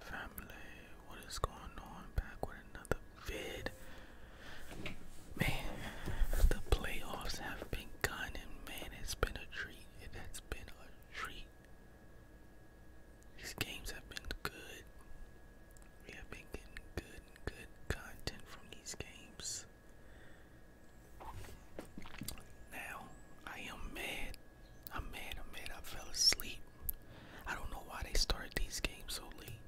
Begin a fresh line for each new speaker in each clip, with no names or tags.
Family, what is going on? Back with another vid. Man, the playoffs have been gone, and man, it's been a treat. It has been a treat. These games have been good. We have been getting good, good content from these games. Now, I am mad. I'm mad, I'm mad. I fell asleep. I don't know why they started these games so late.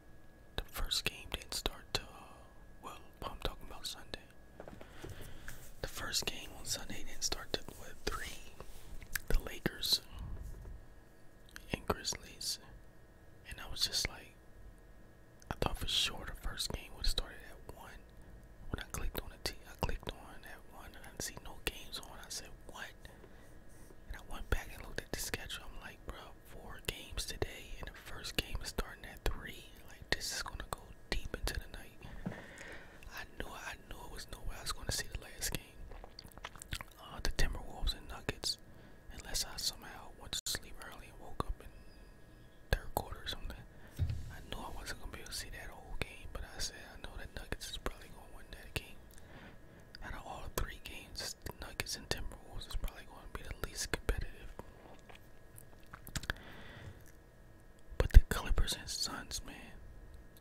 The first game didn't start to. Uh, well, I'm talking about Sunday. The first game on Sunday didn't start to what, 3? The Lakers and Grizzlies. And I was just like, I thought for sure the first game would have started at 1. When I clicked on the T, I clicked on that one and I didn't see no games on. I said, what? And I went back and looked at the schedule. I'm like, bro, four games today, and the first game is starting at three. Like, this is gonna go deep into the night. I knew, I knew it was nowhere I was gonna see the last game. Uh, the Timberwolves and Nuggets, unless I somehow went to sleep early and woke up and third quarter or something. I knew I wasn't gonna be able to see that whole game, but I said I know that Nuggets is probably gonna win that game. Out of all three games, Nuggets and Timberwolves is probably gonna be the least competitive. But the Clippers and Suns, man,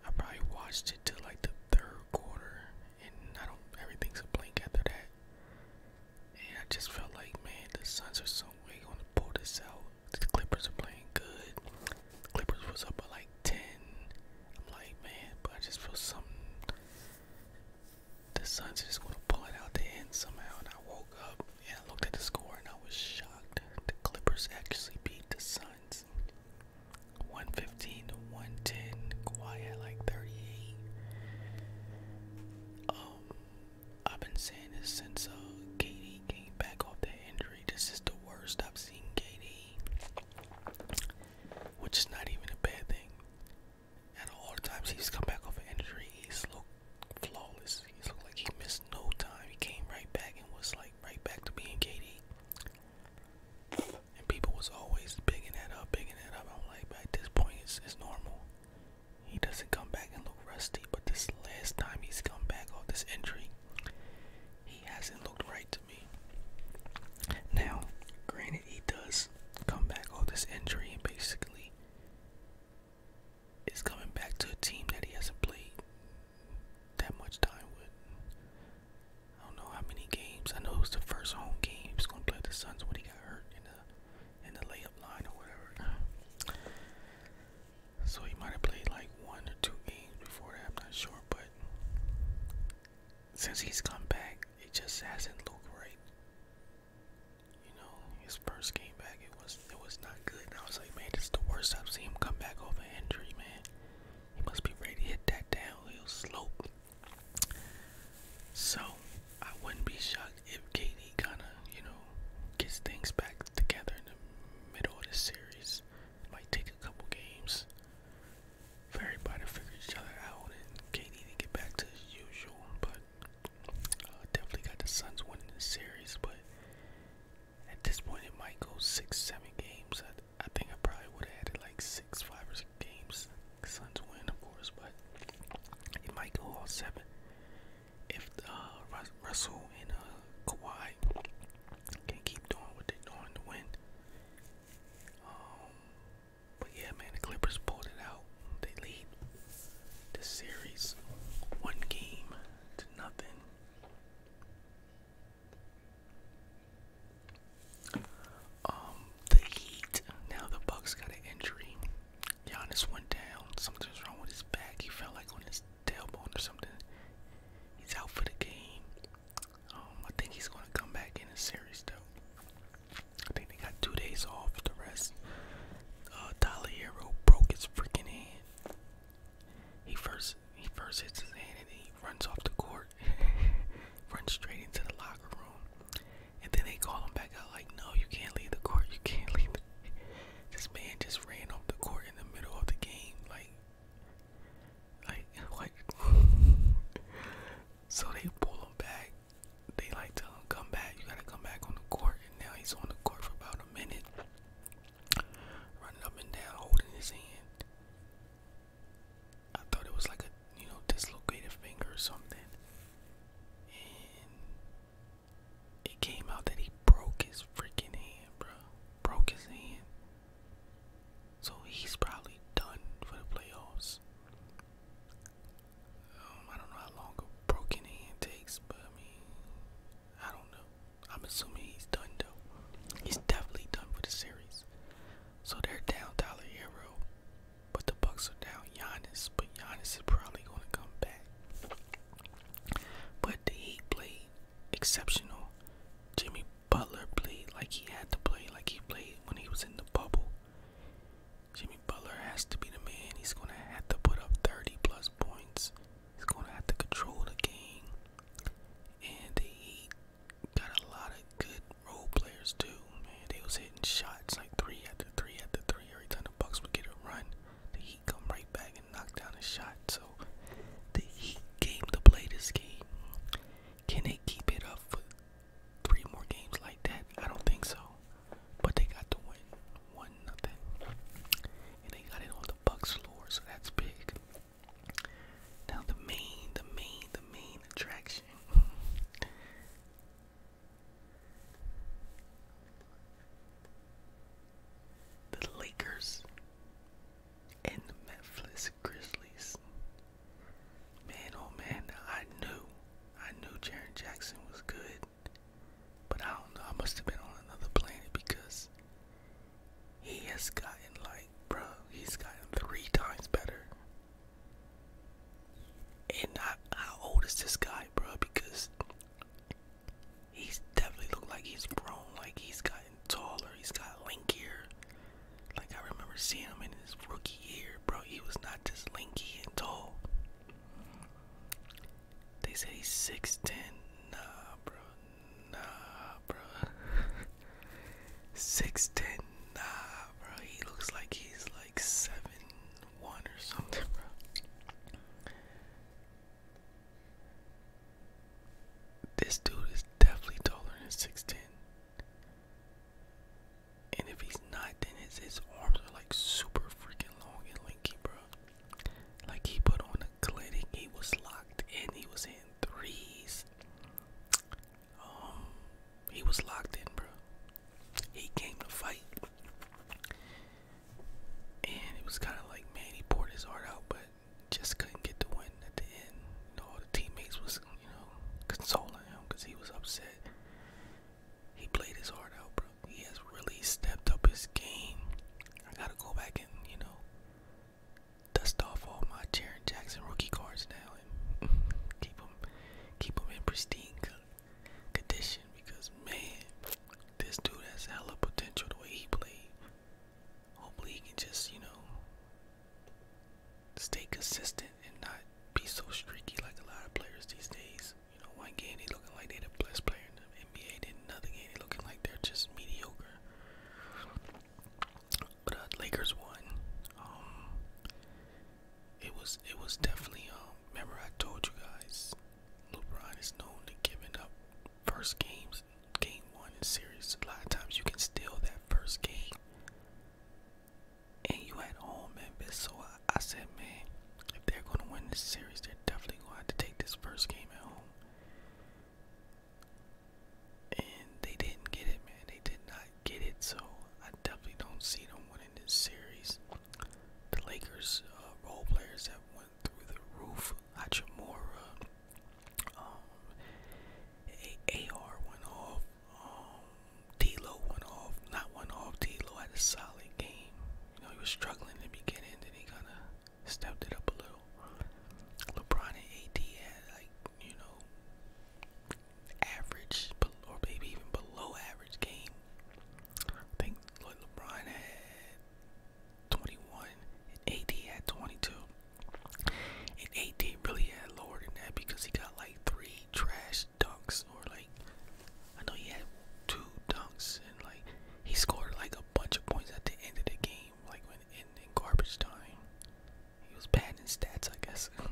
I probably watched it till like the third quarter, and I don't. Everything's a blank after that. And I just felt like, man, the Suns are so we're gonna pull this out. The Clippers are playing good. The Clippers was up by like ten. I'm like, man, but I just feel something. The Suns are just gonna pull it out the end somehow. And I woke up and I looked at the score and I was shocked. The Clippers actually beat the Suns. 115 to 110. Kawhi had like 38. Um, I've been saying this since uh, Katie came back off the injury. This is the worst I've seen Katie, which is not even a bad thing. At all the times he's come back off an injury, he's looked flawless. He's looked like he missed no time. He came right back and was like right back to being Katie. And people was always picking that up, picking that up. I'm like, but at this point, it's normal. He doesn't come back and look rusty, but this last time he's come back off this injury, he hasn't looked right to me. Now, granted, he does come back off this injury and basically is coming back to a team that he hasn't played that much time with. I don't know how many games. I know it's the first home game. he's gonna play the Suns when he got hurt in the in the layup line or whatever. So he might have played like one or two games before that, I'm not sure, but since he's come back, it just hasn't looked right. You know, his first game back it was it was not good. I was like, man, this is the worst I've seen him come back over injury, man. He must be ready to hit that downhill slope. So I wouldn't be shocked if Katie kind of, you know, gets things back together in the middle of the series, it might take a couple games for everybody to figure each other out and Katie to get back to his usual. But uh, definitely got the Suns winning the series, but at this point it might go six, seven games. I, I think I probably would have added like six, five or six games. Suns win, of course, but it might go all seven if the uh, Russell and the uh, Kawhi can keep doing what they're doing to win. Um, but yeah, man, the Clippers pulled it out. They lead the series one game to nothing. Um, the Heat. Now the Bucks got an injury. Giannis went down. Something wrong with his back. He felt like on his tailbone or something. He's out for the game. Um, I think he's gonna come back in the series though. I think they got two days off the rest. Uh, broke his freaking hand. He first he first hits his hand and he runs off the court, runs straight into the locker room, and then they call him back out like, no, you can't leave the court, you can't leave. This man just ran off the court in the middle of the game, like, like what? so they pull him back. They like tell him come back. You gotta come back on the court, and now he's on the court for about a minute, running up and down, holding his hand. I thought it was like a you know dislocated finger or something, it came out that he broke his freaking hand, bro. Broke his hand. So he's probably done for the playoffs. Um, I don't know how long a broken hand takes, but I mean, I don't know. I'm assuming he's done though. He's definitely done for the series. So they're down Tyler Hero, but the Bucks are down Giannis, but Giannis is probably going to come back. But the Heat played exceptional. Jimmy Butler played like he had to play, like he played when he was in the bubble. Jimmy Butler has to be the man. He's going to have to put up 30 plus points. He's going to have to control the game. And the Heat got a lot of good role players too, man. They was hitting shots like three after three after three every time the Bucks would get a run the Heat come right back and knock down a shot. So the Heat game to play this game. Can they keep it up for three more games like that? I don't think so. But they got to win, one nothing, and they got it on the Bucks floor, so that's big. Now the main, the main, the main attraction. The Lakers and the Memphis Grizzlies. Man, oh man, I knew, I knew Jaron Jackson was good, but I don't know. I must have been on another planet because he has gotten like, bro, he's gotten three times better. And how old is this guy, bro? Because He's definitely looked like he's grown, like he's gotten taller, he's got linkier. Like I remember seeing him in his rookie year, bro. He was not just linky and tall. They say he's 6'10. Nah, bro. Nah, bro. 6'10. Nah, bro. He looks like he's like seven one or something, bro. This dude is definitely taller than 6'10. And if he's not, then his, arms are like super freaking long and lanky, bro. Like he put on a clinic, he was locked and he was in threes. Um, he was locked in, bro he came to fight. And it was kind of like, man, he poured his heart out, but just couldn't get the win at the end. all the teammates was, you know, consoling him because he was upset. He played his heart out, bro. He has really stepped up his game. I gotta go back and, you know, dust off all my Jaron Jackson rookie cards now and keep them, keep them in pristine condition because man, this dude has hella potential the way he played. Hopefully he can just, you know, stay consistent and not be so streaky like a lot of players these days. You know, one game they looking like they the best player in the NBA, then another game they looking like they're just mediocre. But uh, Lakers won. Um, it was it was definitely um remember I told you guys LeBron is known to giving up first games, game one in series. A lot of times you can steal that first game. And you at home, Memphis. So I, I said, man, if they're gonna win this series, they're definitely gonna have to take this first game at home. And they didn't get it, man. They did not get it. So I definitely don't see them winning in this series. The Lakers uh, role players that went through the roof. Hachimura, um, AR went off. Um, D'Lo went off. Not went off. D'Lo had a solid game. You know he was struggling in the beginning, then he kind of stepped it up a little. LeBron and AD had like you know average or maybe even below average game. I think LeBron had 21 AD had 22. AD really had lower than that because he got like three trash dunks or like I know he had two dunks and like he scored like a bunch of points at the end of the game like when in, garbage time. He was bad in stats, I guess.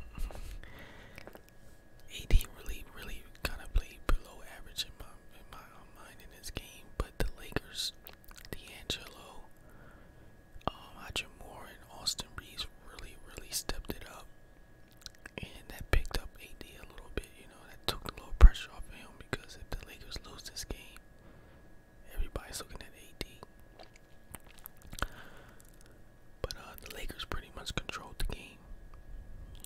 AD really, really kind of played below average in my in um, mind in this game. But the Lakers, D'Angelo, um, Roger Moore, and Austin Reeves really, really stepped it up, and that picked up AD a little bit. You know, that took a little pressure off of him because if the Lakers lose this game, everybody's looking at AD. But uh, the Lakers pretty much controlled the game.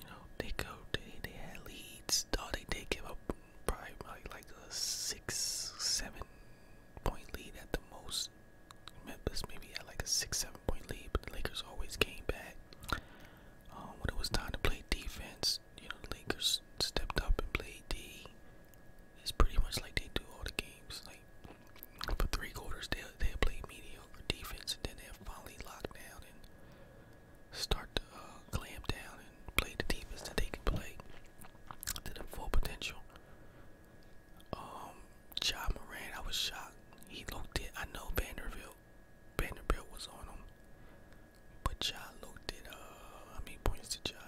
You know, they go, they, they had leads. Oh, they did give up probably, probably like a six, seven point lead at the most. Memphis maybe had like a six, seven point lead, but the Lakers always came back. Um, when it was time to play defense, you know, the Lakers stepped up and played D. It's pretty much like they do all the games. Like for three quarters, they they play mediocre defense, and then they finally lock down and start to uh, clamp down and play the defense that they can play to their full potential. Um, John Moran, I was shocked. He looked it. I know Vanderbilt, Vanderbilt was on him, but John looked it. Uh, I mean points to John?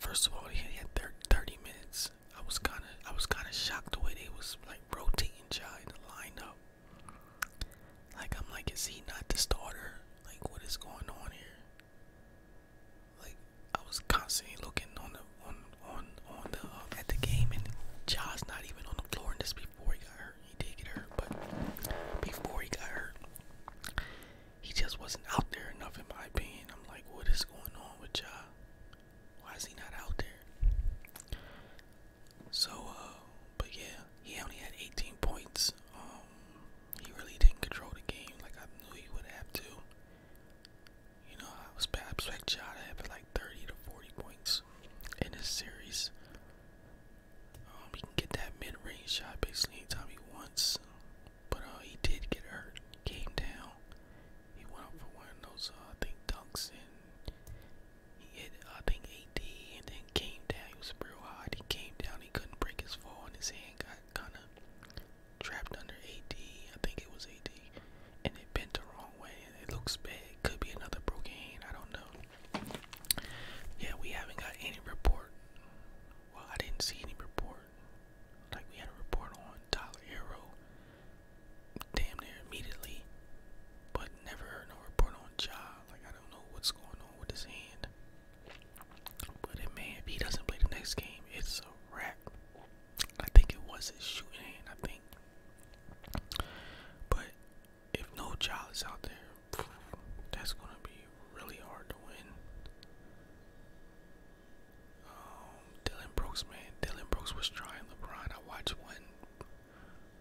First of all, he had 30 minutes. I was kind of I was kind of shocked the way they was like rotating Ja in the lineup. Like I'm like, is he not the starter? Like what is going on here? Like I was constantly looking on the on on on the uh, at the game and Ja's not even on the floor. And this before he got hurt, he did get hurt, but before he got hurt, he just wasn't out there enough in my opinion. I'm like, what is going on with Ja? Why is he not out there? So, uh, but yeah, he only had 18 points. Um, he really didn't control the game like I knew he would have to. You know, I was bad. I expected to have like 30 to 40 points in this series. Um, he can get that mid-range shot basically anytime he wants. But uh, he did get hurt. Came down. He went up for one of those, uh, I think, dunks, and he hit, I think, AD, and then came down. He was real hard. He came down. He couldn't break his fall, and his hand got kind of trapped under AD. I think it was AD, and it bent the wrong way, and it looks bad. Could be another broken hand. I don't know. Yeah, we haven't got any report. Well, I didn't see any report like we had a report on Tyler Hero damn near immediately, but never heard no report on Ja. Like I don't know what's going on with his hand. But it man, if he doesn't play the next game, it's a wrap. I think it was his shooting hand, I think. But if no child is out there, that's gonna be really hard to win. Um, Dylan Brooks, man, Dylan Brooks was trying LeBron. I watched one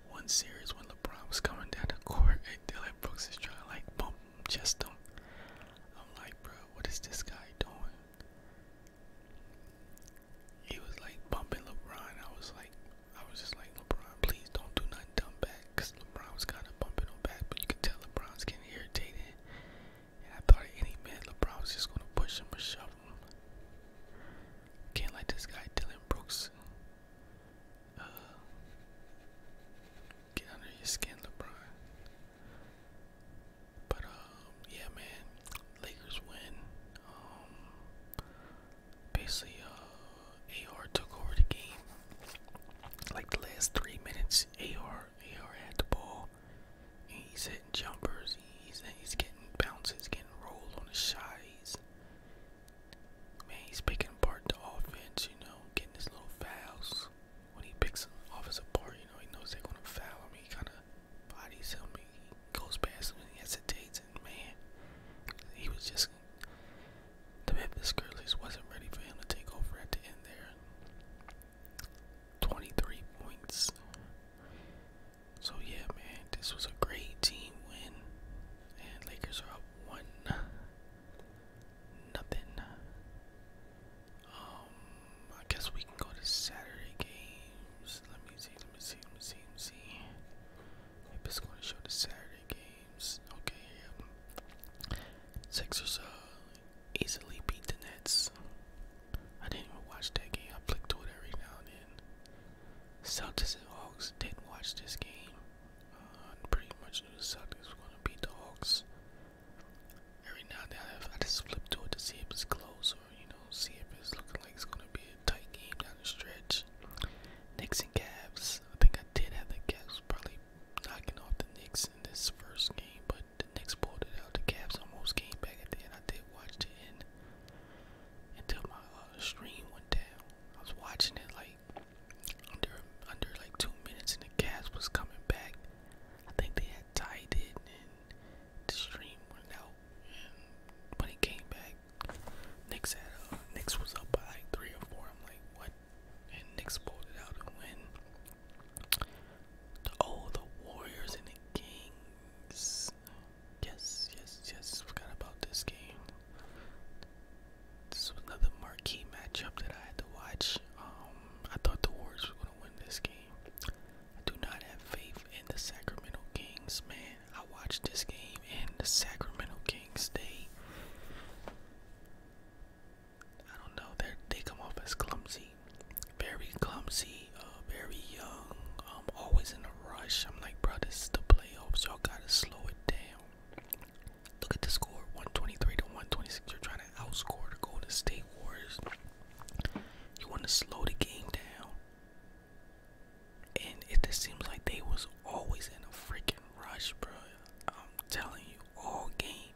one series when LeBron was coming down the court and Dylan Brooks is trying like bump just him. I'm like, bro, what is this guy doing? He was like bumping LeBron. I was like, I was just like, LeBron, please don't do nothing dumb back. Cause LeBron was kind of bumping him back, but you could tell LeBron's getting irritated. I thought at any minute LeBron was just gonna push him or shove him. Can't let this guy Dylan Brooks uh, get under your skin, LeBron. But um, yeah, man, Lakers win. Um, basically, uh, AR took over the game. Like the last three minutes, AR are are at the ball and he's hitting jumpers, he's he's getting bounces, getting rolled on the shot, he's man, he's picking apart the offense, you know, getting his little fouls. When he picks an offense apart, you know, he knows they're gonna foul him, he kinda bodies him, he goes past him he hesitates and man he was just the Memphis Grizzlies wasn't ready for him to take over at the end there. 23 points. So yeah, man, this was a great team win, and Lakers are up one nothing. Um, I guess we can go to Saturday games. Let me see. Let me see. Let me see. Let me see. If it's going to show the Saturday games, okay. Yep. Sixers uh easily beat the Nets. I didn't even watch that game. I flicked to it every now and then. Celtics and Hawks didn't watch this game. Uh, I pretty much knew the Celtics were going to beat the Hawks. Every now and then, I, I just flip to it to see if it's close or, you know, see if it's looking like it's going to be a tight game down the stretch. Knicks and Cavs. I think I did have the Cavs probably knocking off the Knicks in this first game, but but the next quarter, the Cavs almost came back at the end. I did watch the end until my uh, stream went down. I was watching it like under under like two minutes, and the Cavs was coming back. I think they had tied it, and the stream went down. And when he came back, Knicks had uh, Knicks was up by like three or four. I'm like, what? And Knicks pulled it out and win. Oh, the Warriors and the Kings. Yes, yes, yes. Forgot about this game. This was another marquee matchup that I had to watch. Um, I thought the Warriors were gonna win this game. I do not have faith in the Sacramento Kings, man. I watched this game and the Sacramento Kings they I don't know. They they come off as clumsy, very clumsy, uh, very young. I'm um, always in a rush. I'm like, bro, this is the playoffs. Y'all gotta slow it down. Look at the score, 123 to 126. You're trying to outscore the to State wars. You want to slow the game down, and it just seems like they was always in a freaking rush, bro. I'm telling you, all game.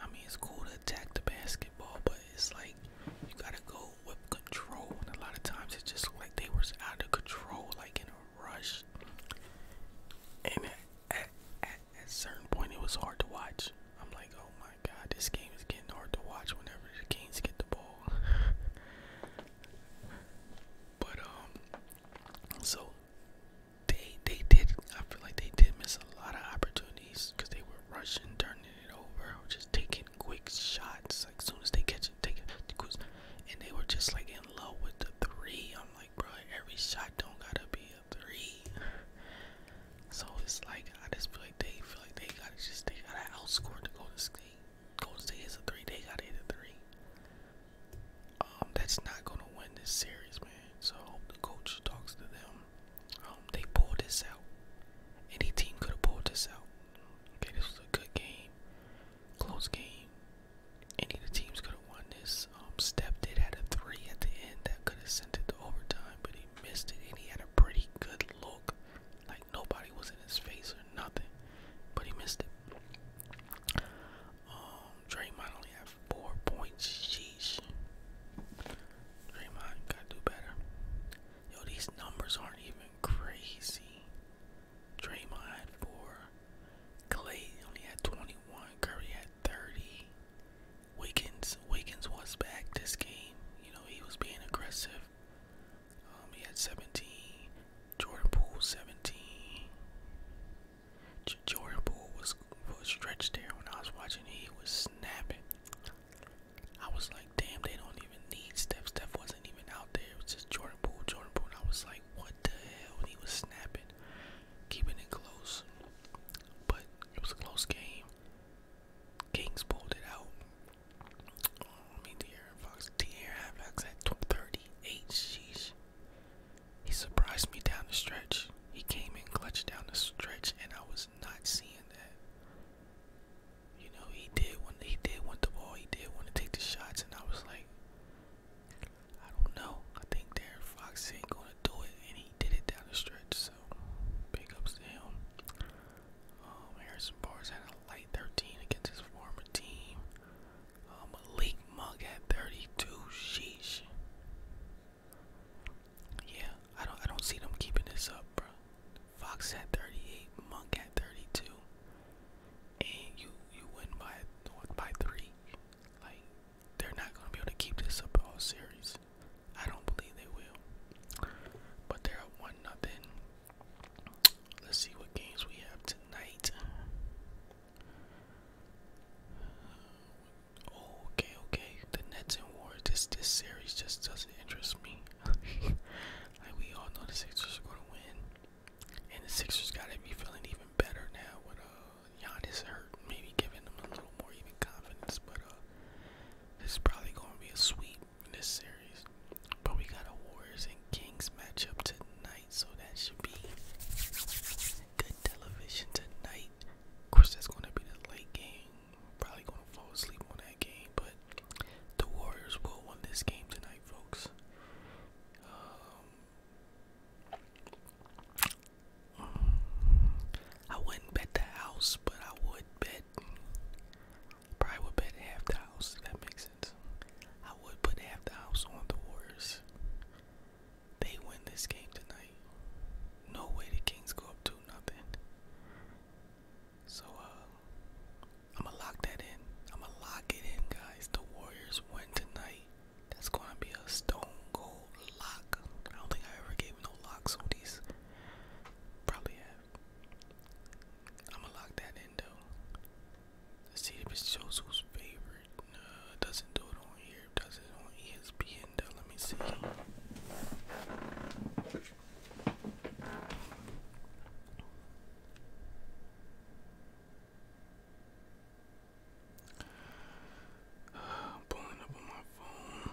I mean, it's cool to attack the basketball, but it's like you gotta go with control. a lot of times it just like they were out of control, like in a rush. And at, at, a certain point, it was hard to watch. I'm like, oh my god, this game is getting hard to watch whenever the Kings get the ball. but um, so they they did. I feel like they did miss a lot of opportunities because they were rushing, turning it over, or just taking quick shots. Like soon as they catch it, take it, and they were just like in love with the three. I'm like, bro, every shot don't gotta be a three. So it's like I just feel like they feel like they gotta just they gotta outscore the Golden State. Golden State is a three. They gotta hit a three. Um, that's not gonna win this series, man. So I hope the coach talks to them um, they pulled this out. Any team could have pulled this out. Okay, this was a good game, close game. Any of the teams could have won this. Um, Steph did had a three at the end that could have sent it to overtime, but he missed it, and he had a pretty good look. Like nobody was in his face or nothing, but he missed it. Um, Draymond only had Four points, sheesh. Draymond gotta do better. Yo, these numbers aren't even crazy. Draymond had four. Clay only had 21. Curry had 30. Wiggins, Wiggins was back this game. You know, he was being aggressive. Um, he had 17. Jordan Poole, 17. Jordan Poole was, stretched there when I was watching. He was snapping. I was like, damn, they don't even need Steph. Steph wasn't even out there. It was just Jordan Poole, Jordan Poole. I was like, what the hell? And he was snapping, keeping it close. But it was a close game. Kings pulled it out. Oh, De'Aaron Fox. De'Aaron Fox at 38. Sheesh. He surprised me down the stretch. He came and clutched down the stretch, and I was not seeing that. You know, he did want he did want the ball. He did want to take the shots, and I was like, I don't know. I think Darren Fox ain't gonna do it, and he did it down the stretch. So, big ups to him. Um, Harrison Barnes had a light 13 against his former team. Um, Malik Monk had 32. Sheesh. Yeah, I don't I don't see them keeping this up, bro. Fox at 38, Monk at 32, and you you win by by three. Like they're not gonna be able to keep this up all series. I don't believe they will. But they're up one nothing. Let's see what games we have tonight. Uh, Okay, okay. The Nets and Warriors. This this series just doesn't interest me. like we all know, the Sixers are gonna win, and the Sixers gotta be feeling even better now with uh Giannis hurt, maybe giving them a little more even confidence. But uh, this is probably gonna be a sweep in this series. But we got a Warriors and Kings matchup tonight, so that should be good television tonight. Of course, that's going to be the late game. Probably going to fall asleep on that game, but the Warriors will win this game tonight, folks. Um, I wouldn't bet the house, but I would bet. Probably would bet half the house. that makes sense. I would put half the house on the Warriors. They win this game tonight. No way the Kings go up 2 nothing. So uh, I'ma lock that in. I'ma lock it in guys. The Warriors win tonight. That's gonna be a stone cold lock. I don't think I ever gave no locks on these. Probably have. I'ma lock that in though. see if it shows who's favorite. Uh, doesn't do it on here. does it on ESPN Let me see. pulling up on my phone.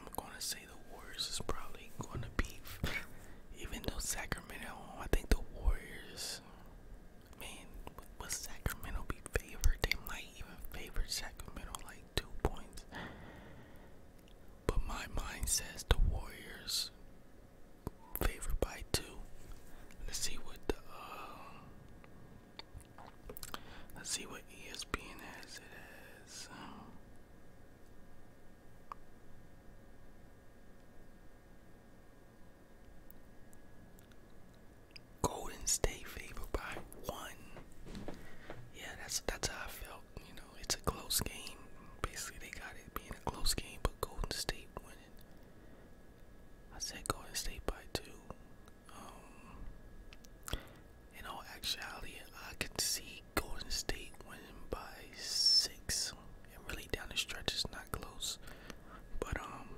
I'm gonna say the Warriors is probably gonna be, even though Sacramento, I think the Warriors, man, with Sacramento be favored? They might even favor Sacramento like two points. But my mind says the Warriors favored by two. Let's see what the uh, let's see what ESPN has it is. Golden State favored by one. Yeah, that's that's how I felt. You know, it's a close game. Basically, they got it being a close game, but Golden State winning. I said Golden State by two. Um, in all actuality, I can see Golden State winning by six, and really down the stretch it's not close. But um,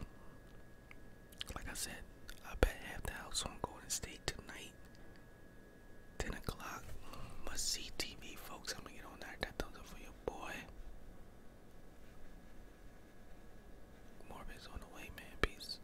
like I said, I bet half the house on Golden State tonight. 10 o'clock, must see TV, folks. I'm gonna get on that. That thumbs up for your boy. Morbid's on the way, man. Peace.